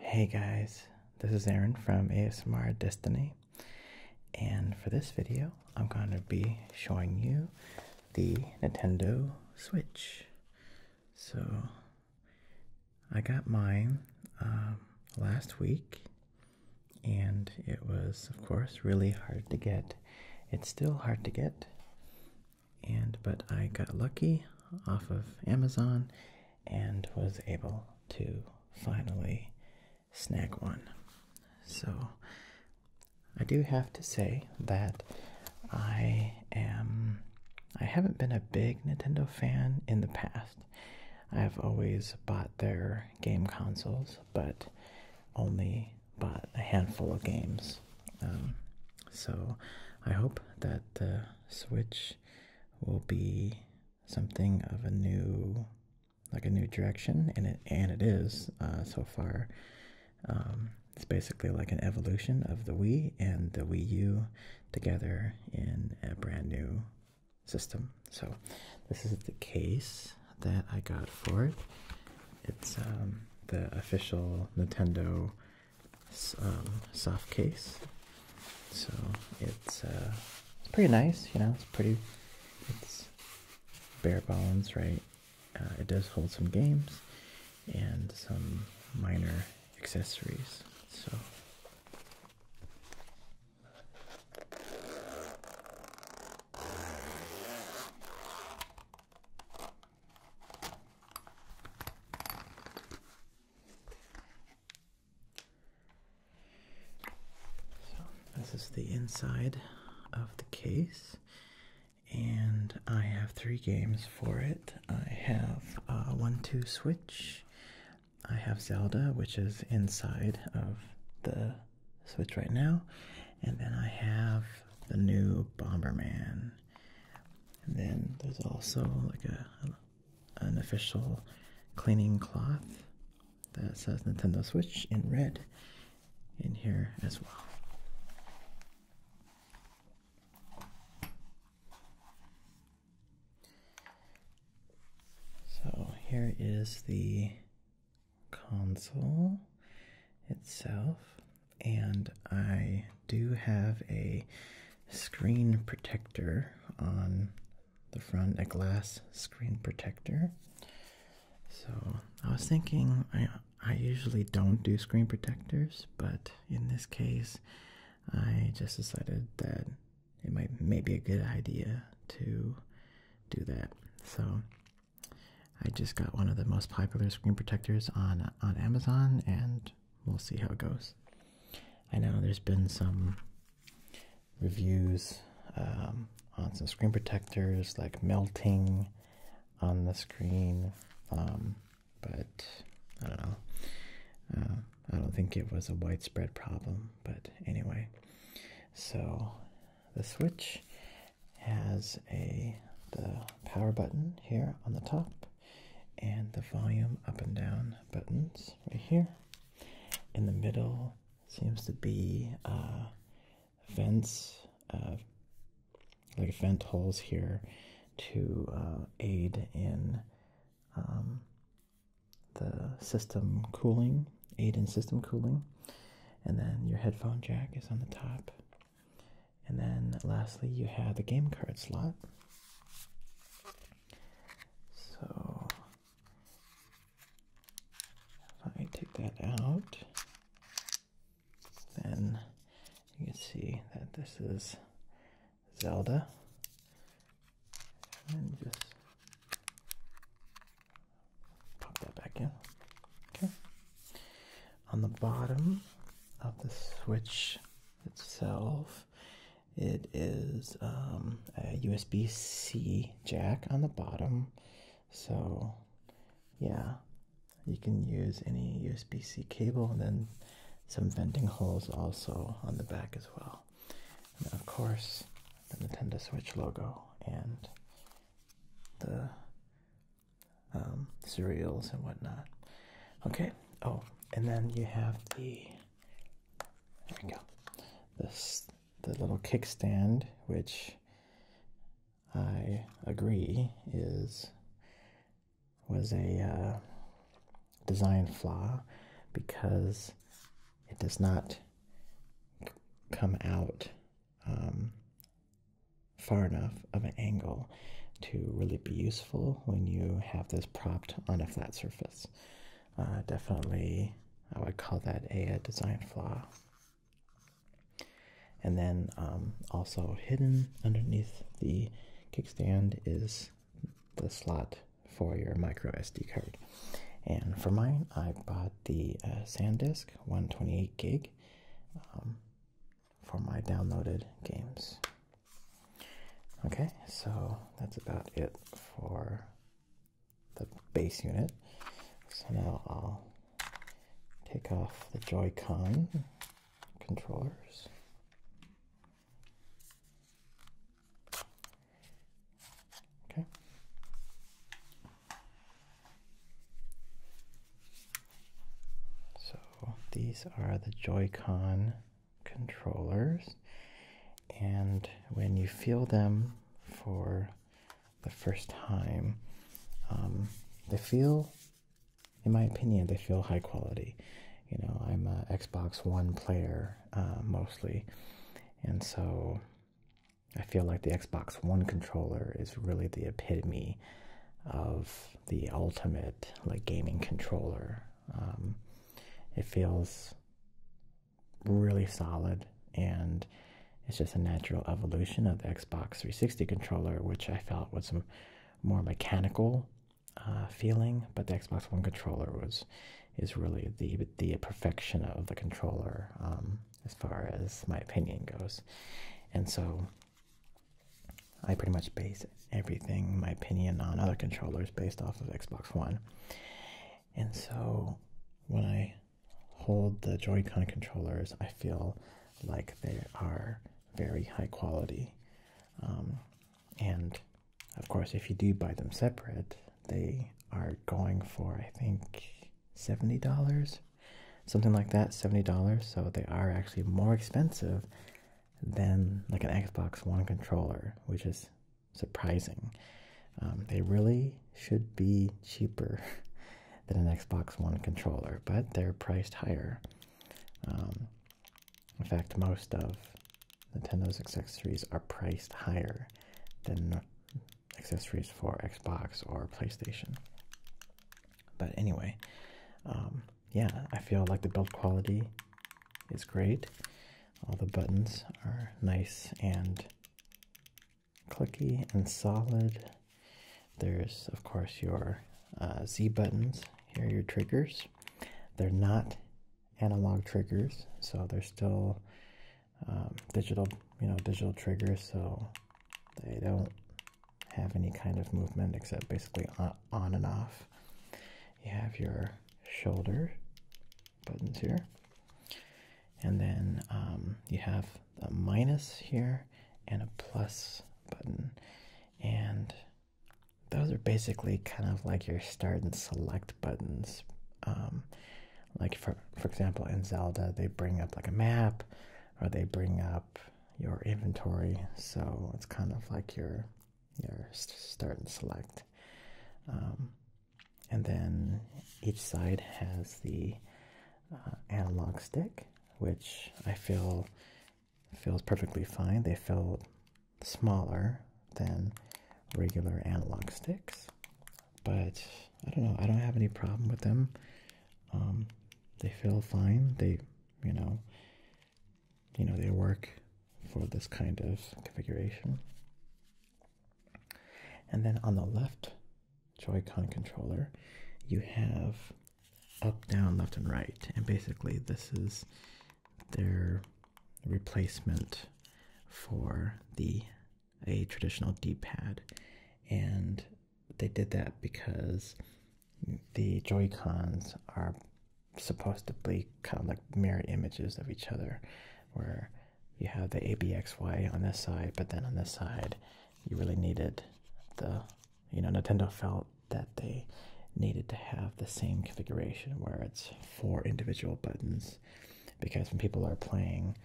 Hey guys, this is Aaron from ASMR Destiny, and for this video, I'm going to be showing you the Nintendo Switch. So, I got mine um, last week, and it was, of course, really hard to get. It's still hard to get, and but I got lucky off of Amazon and was able to finally snag one. So I do have to say that I am I haven't been a big Nintendo fan in the past. I've always bought their game consoles, but only bought a handful of games. Um, so I hope that the Switch will be something of a new, like a new direction, and it and it is uh, so far. Um, it's basically like an evolution of the Wii and the Wii U together in a brand new system. So this is the case that I got for it. It's um, the official Nintendo um, soft case. So uh, it's pretty nice, you know, it's pretty, it's bare bones, right? Uh, it does hold some games and some minor accessories. So this is the inside of the case and I have three games for it. I have uh, one two switch. I have Zelda, which is inside of the Switch right now, and then I have the new Bomberman. And then there's also like a an official cleaning cloth that says Nintendo Switch in red in here as well. So here is the console itself, and I do have a screen protector on the front, a glass screen protector. So I was thinking I usually don't do screen protectors, but in this case, I just decided that it might may be a good idea to do that. So I just got one of the most popular screen protectors on on Amazon, and we'll see how it goes. I know there's been some reviews um, on some screen protectors, like melting on the screen but I don't know. Uh, I don't think it was a widespread problem, but anyway. So the switch has a the power button here on the top and the volume up and down buttons right here. In the middle seems to be uh, vents, uh, like vent holes here to uh, aid in um, the system cooling, aid in system cooling. And then your headphone jack is on the top. And then lastly, you have the game card slot. So if I take that out, then you can see that this is Zelda. And just pop that back in. Okay. On the bottom of the switch itself, it is um, a USB C jack on the bottom. So yeah, you can use any USB C cable and then some venting holes also on the back as well. And of course, the Nintendo Switch logo and the um, cereals and whatnot. Okay, oh, and then you have the there we go. This the little kickstand, which I agree is was a uh, design flaw because it does not come out um, far enough of an angle to really be useful when you have this propped on a flat surface. Uh, definitely, I would call that a design flaw. And then um, also hidden underneath the kickstand is the slot for your micro SD card. And for mine, I bought the uh, SanDisk 128 gig um, for my downloaded games. Okay, so that's about it for the base unit. So now I'll take off the Joy-Con controllers. Okay. So these are the Joy-Con controllers, and when you feel them for the first time, um, they feel in my opinion, they feel high quality. You know, I'm a Xbox One player uh, mostly, and so I feel like the Xbox One controller is really the epitome of the ultimate like gaming controller. Um, it feels really solid and it's just a natural evolution of the Xbox 360 controller, which I felt was some more mechanical uh, feeling. But the Xbox One controller was is really the the perfection of the controller um, as far as my opinion goes. And so I pretty much base everything, my opinion on other controllers based off of Xbox One. And so when I hold the Joy-Con controllers, I feel like they are very high quality. Um, and of course, if you do buy them separate, they are going for, I think, $70, something like that, $70. So they are actually more expensive than like an Xbox One controller, which is surprising. Um, they really should be cheaper. than an Xbox One controller, but they're priced higher. Um, in fact, most of Nintendo's accessories are priced higher than accessories for Xbox or PlayStation. But anyway, um, yeah, I feel like the build quality is great. All the buttons are nice and clicky and solid. There's, of course, your uh, Z buttons. Here your triggers. They're not analog triggers, so they're still um, digital, you know, digital triggers, so they don't have any kind of movement except basically on and off. You have your shoulder buttons here and then um, you have a minus here and a plus button, and those are basically kind of like your start and select buttons. Um, like for for example, in Zelda, they bring up like a map, or they bring up your inventory. So it's kind of like your your start and select. Um, and then each side has the uh, analog stick, which I feel feels perfectly fine. They feel smaller than regular analog sticks, but I don't know. I don't have any problem with them. Um, they feel fine. They, you know, you know, they work for this kind of configuration. And then on the left Joycon controller, you have up, down, left, and right. And basically, this is their replacement for the a traditional D-pad. And they did that because the Joy-Cons are supposedly kind of like mirror images of each other, where you have the ABXY on this side, but then on this side, you really needed the, you know, Nintendo felt that they needed to have the same configuration where it's four individual buttons because when people are playing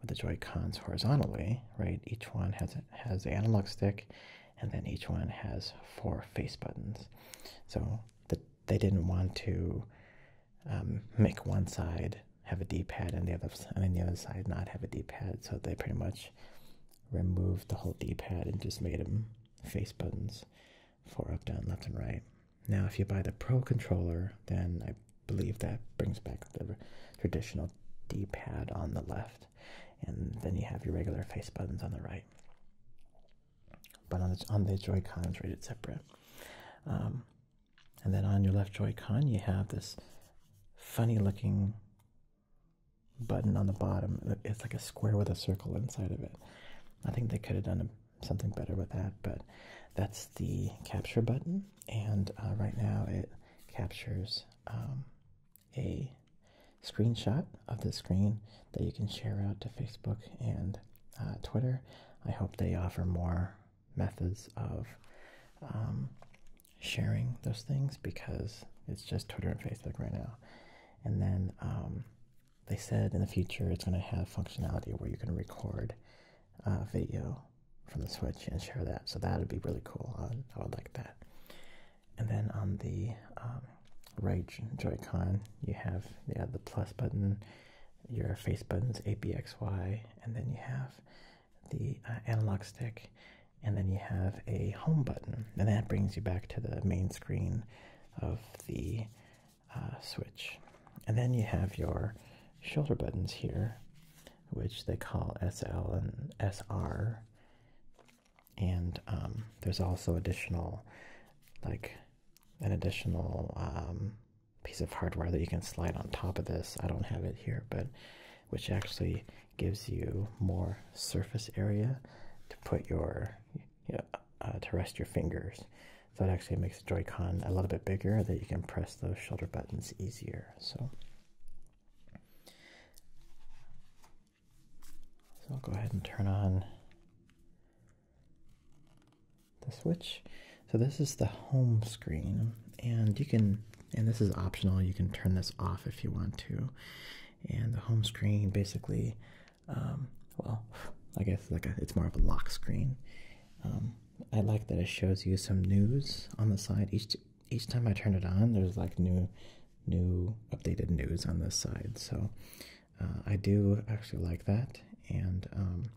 with the Joy Cons horizontally, right, each one has, has the analog stick and then each one has four face buttons. So the, they didn't want to um, make one side have a D-pad and the other and then the other side not have a D-pad. So they pretty much removed the whole D-pad and just made them face buttons for up, down, left, and right. Now, if you buy the Pro controller, then I believe that brings back the traditional D-pad on the left, and then you have your regular face buttons on the right. But on the, on the Joy-Cons, rated separate. Um, and then on your left Joy-Con, you have this funny looking button on the bottom. It's like a square with a circle inside of it. I think they could have done something better with that, but that's the capture button. And uh, right now it captures um, a screenshot of the screen that you can share out to Facebook and uh, Twitter. I hope they offer more methods of um, sharing those things because it's just Twitter and Facebook right now. And then um, they said in the future it's going to have functionality where you can record uh, video from the Switch and share that. So that would be really cool. I would, like that. And then on the um, right Joy-Con, you have yeah, the plus button your face buttons A, B, X, Y, and then you have the uh, analog stick, and then you have a home button, and that brings you back to the main screen of the uh, switch. And then you have your shoulder buttons here, which they call SL and SR. And um, there's also additional, like, an additional um, piece of hardware that you can slide on top of this. I don't have it here, but which actually gives you more surface area to put your you uh, to rest your fingers. So it actually makes Joy-Con a little bit bigger that you can press those shoulder buttons easier. So. So I'll go ahead and turn on the switch. So this is the home screen, and you can, and this is optional. You can turn this off if you want to. And the home screen basically, um, well, I guess like it's more of a lock screen. Um, I like that it shows you some news on the side. Each each time I turn it on, there's like new, new updated news on this side. So uh, I do actually like that, and um,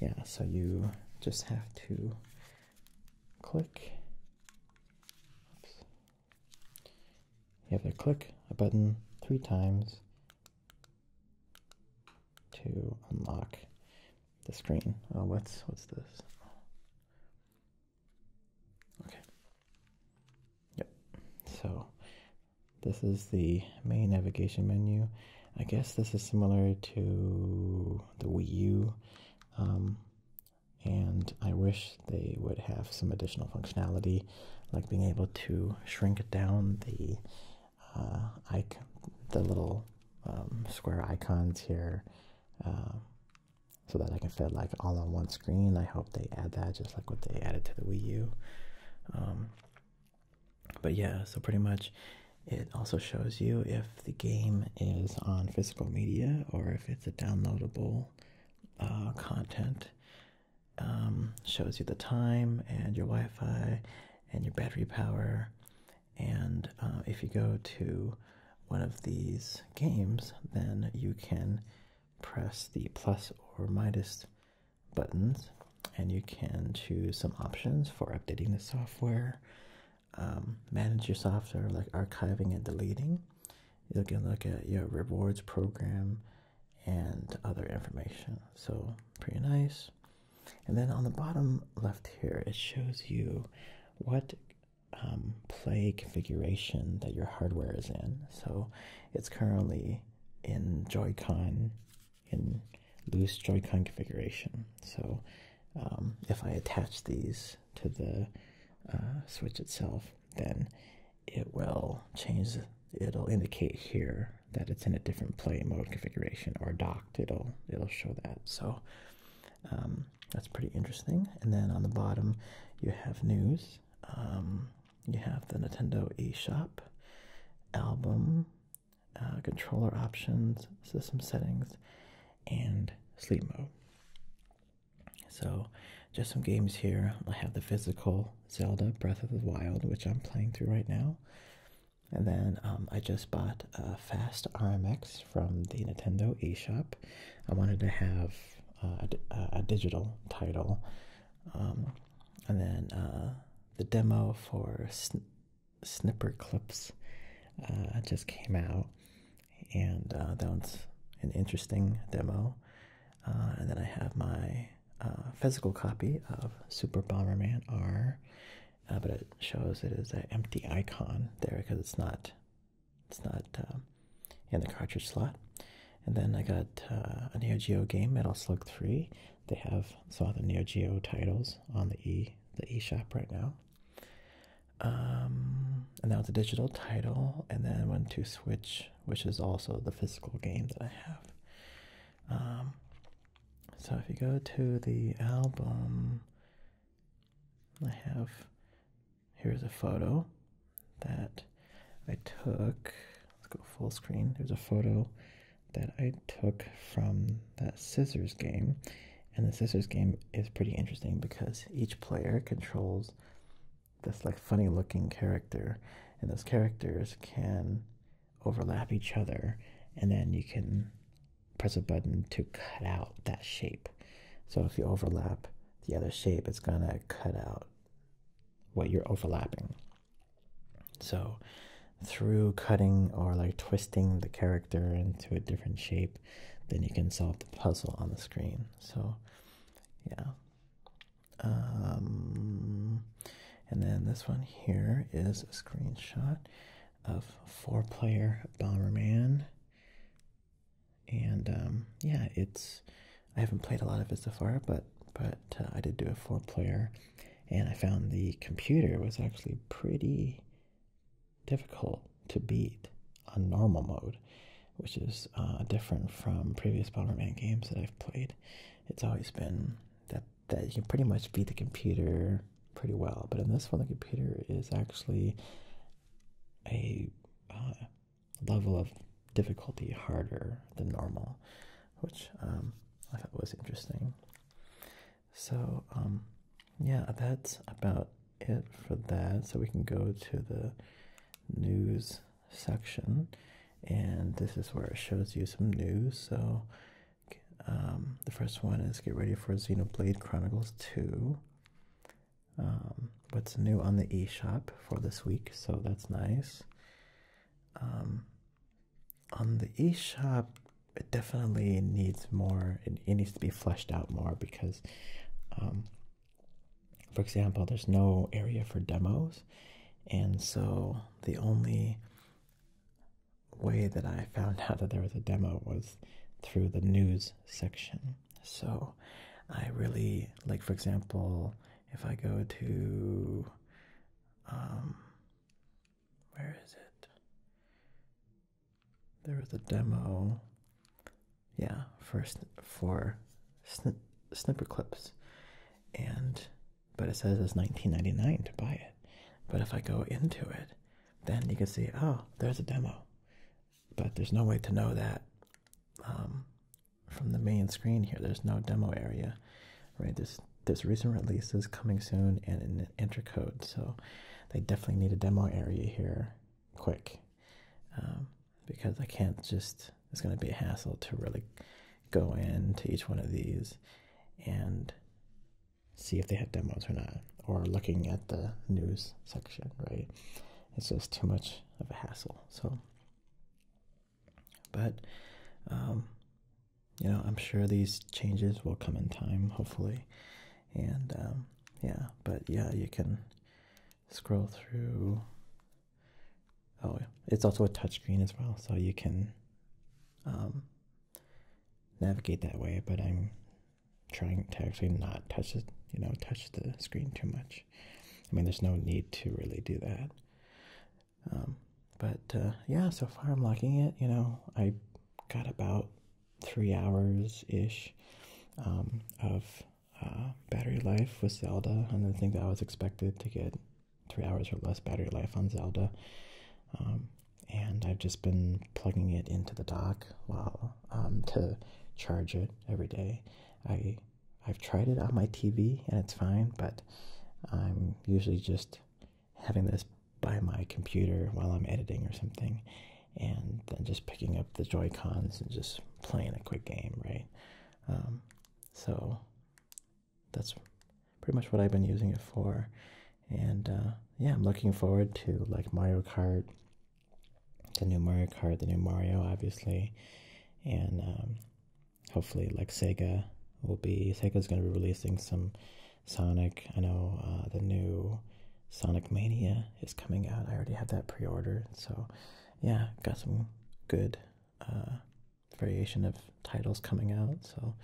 yeah, so you just have to click. You have to click a button three times to unlock the screen. Oh, what's what's this? Okay. Yep. So this is the main navigation menu. I guess this is similar to the Wii U. Um, and I wish they would have some additional functionality, like being able to shrink down the uh, icon, the little um, square icons here, uh, so that I can fit like all on one screen. I hope they add that, just like what they added to the Wii U. Um, but yeah, so pretty much it also shows you if the game is on physical media or if it's a downloadable uh, content. Um, shows you the time and your Wi Fi and your battery power. And uh, if you go to one of these games, then you can press the plus or minus buttons and you can choose some options for updating the software um, manage your software like archiving and deleting you can look at your rewards program and other information so pretty nice and then on the bottom left here it shows you what um, play configuration that your hardware is in so it's currently in joy-con in loose Joy-Con configuration. So um, if I attach these to the uh, switch itself, then it will change. It'll indicate here that it's in a different play mode configuration or docked. It'll it'll show that. So um, that's pretty interesting. And then on the bottom, you have news. Um, you have the Nintendo eShop, album, uh, controller options, system settings, and sleep mode. So, just some games here. I have the physical Zelda Breath of the Wild, which I'm playing through right now. And then um, I just bought a Fast RMX from the Nintendo eShop. I wanted to have uh, a, a, digital title. Um, and then uh, the demo for Snipper Clips uh, just came out, and uh, that was an interesting demo. Uh, and then I have my physical copy of Super Bomberman R, but it shows it is an empty icon there because it's not it's not in the cartridge slot. And then I got uh, a Neo Geo game, Metal Slug 3. They have saw the Neo Geo titles on the E the E shop right now. Um, and that was a digital title, and then I went to Switch, which is also the physical game that I have. Um, so if you go to the album, I have here's a photo that I took. Let's go full screen. There's a photo that I took from that scissors game. And the scissors game is pretty interesting because each player controls this like funny looking character, and those characters can overlap each other, and then you can press a button to cut out that shape. So if you overlap the other shape, it's gonna cut out what you're overlapping. So, through cutting or like twisting the character into a different shape, then you can solve the puzzle on the screen. So, yeah. Um, and then this one here is a screenshot of four player Bomberman. And um, yeah, it's I haven't played a lot of it so far, but but uh, I did do a four player, and I found the computer was actually pretty difficult to beat on normal mode, which is uh, different from previous Man games that I've played. It's always been that that you can pretty much beat the computer pretty well, but in this one, the computer is actually a uh, level of difficulty harder than normal, which um, I thought was interesting. So, um, yeah, that's about it for that. So, we can go to the news section, and this is where it shows you some news. So, um, the first one is get ready for Xenoblade Chronicles 2. what's new on the eShop for this week? So, that's nice. Um, on the e-shop, it definitely needs more. It, it needs to be fleshed out more because, um, for example, there's no area for demos, and so the only way that I found out that there was a demo was through the news section. So I really like, for example, if I go to, um, where is it? There a demo, yeah, for for snipper clips, and but it says it's 19.99 to buy it. But if I go into it, then you can see, oh, there's a demo, but there's no way to know that um, from the main screen here. There's no demo area, right? There's there's recent releases coming soon and an intercode, so they definitely need a demo area here quick um, because I can't just. It's going to be a hassle to really go into each one of these and see if they have demos or not, or looking at the news section, right? It's just too much of a hassle. So but, um, you know, I'm sure these changes will come in time, hopefully. And, um, yeah, but yeah, you can scroll through. Oh, it's also a touchscreen as well, so you can um, navigate that way. But I'm trying to actually not touch the, you know, touch the screen too much. I mean, there's no need to really do that. Um, but uh, yeah, so far I'm liking it. You know, I got about three hours ish um, of uh, battery life with Zelda, and I think that I was expected to get three hours or less battery life on Zelda. Um, and I've just been plugging it into the dock while to charge it every day. I've tried it on my TV and it's fine, but I'm usually just having this by my computer while I'm editing or something, and then just picking up the Joy Cons and just playing a quick game, right? Um, so that's pretty much what I've been using it for, and uh, yeah, I'm looking forward to like Mario Kart the new Mario Kart, the new Mario, obviously, and um, hopefully, like Sega will be Sega is going to be releasing some Sonic. I know uh, the new Sonic Mania is coming out. I already have that pre-ordered, so yeah, got some good uh, variation of titles coming out. So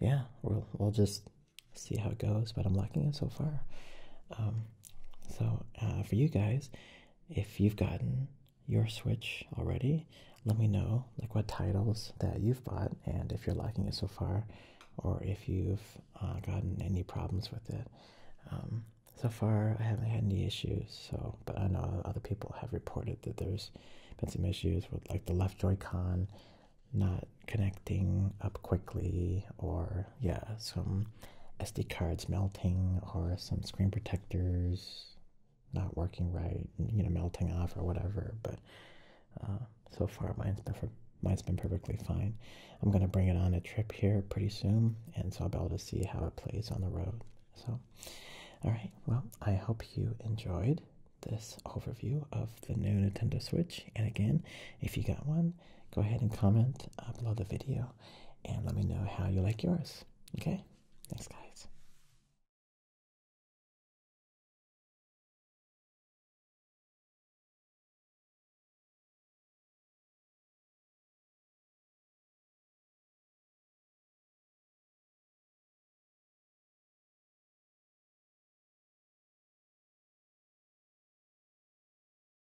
yeah, we'll we'll just see how it goes. But I'm liking it so far. Um, so uh, for you guys if you've gotten your Switch already, let me know like what titles that you've bought and if you're liking it so far, or if you've uh, gotten any problems with it. Um, so far, I haven't had any issues. So, but I know other people have reported that there's been some issues with like the left Joy-Con not connecting up quickly, or yeah some SD cards melting or some screen protectors not working right, you know, melting off or whatever. But uh, so far, mine's been mine's been perfectly fine. I'm gonna bring it on a trip here pretty soon, and so I'll be able to see how it plays on the road. So, all right. Well, I hope you enjoyed this overview of the new Nintendo Switch. And again, if you got one, go ahead and comment upload the video and let me know how you like yours. Okay? Thanks, guys.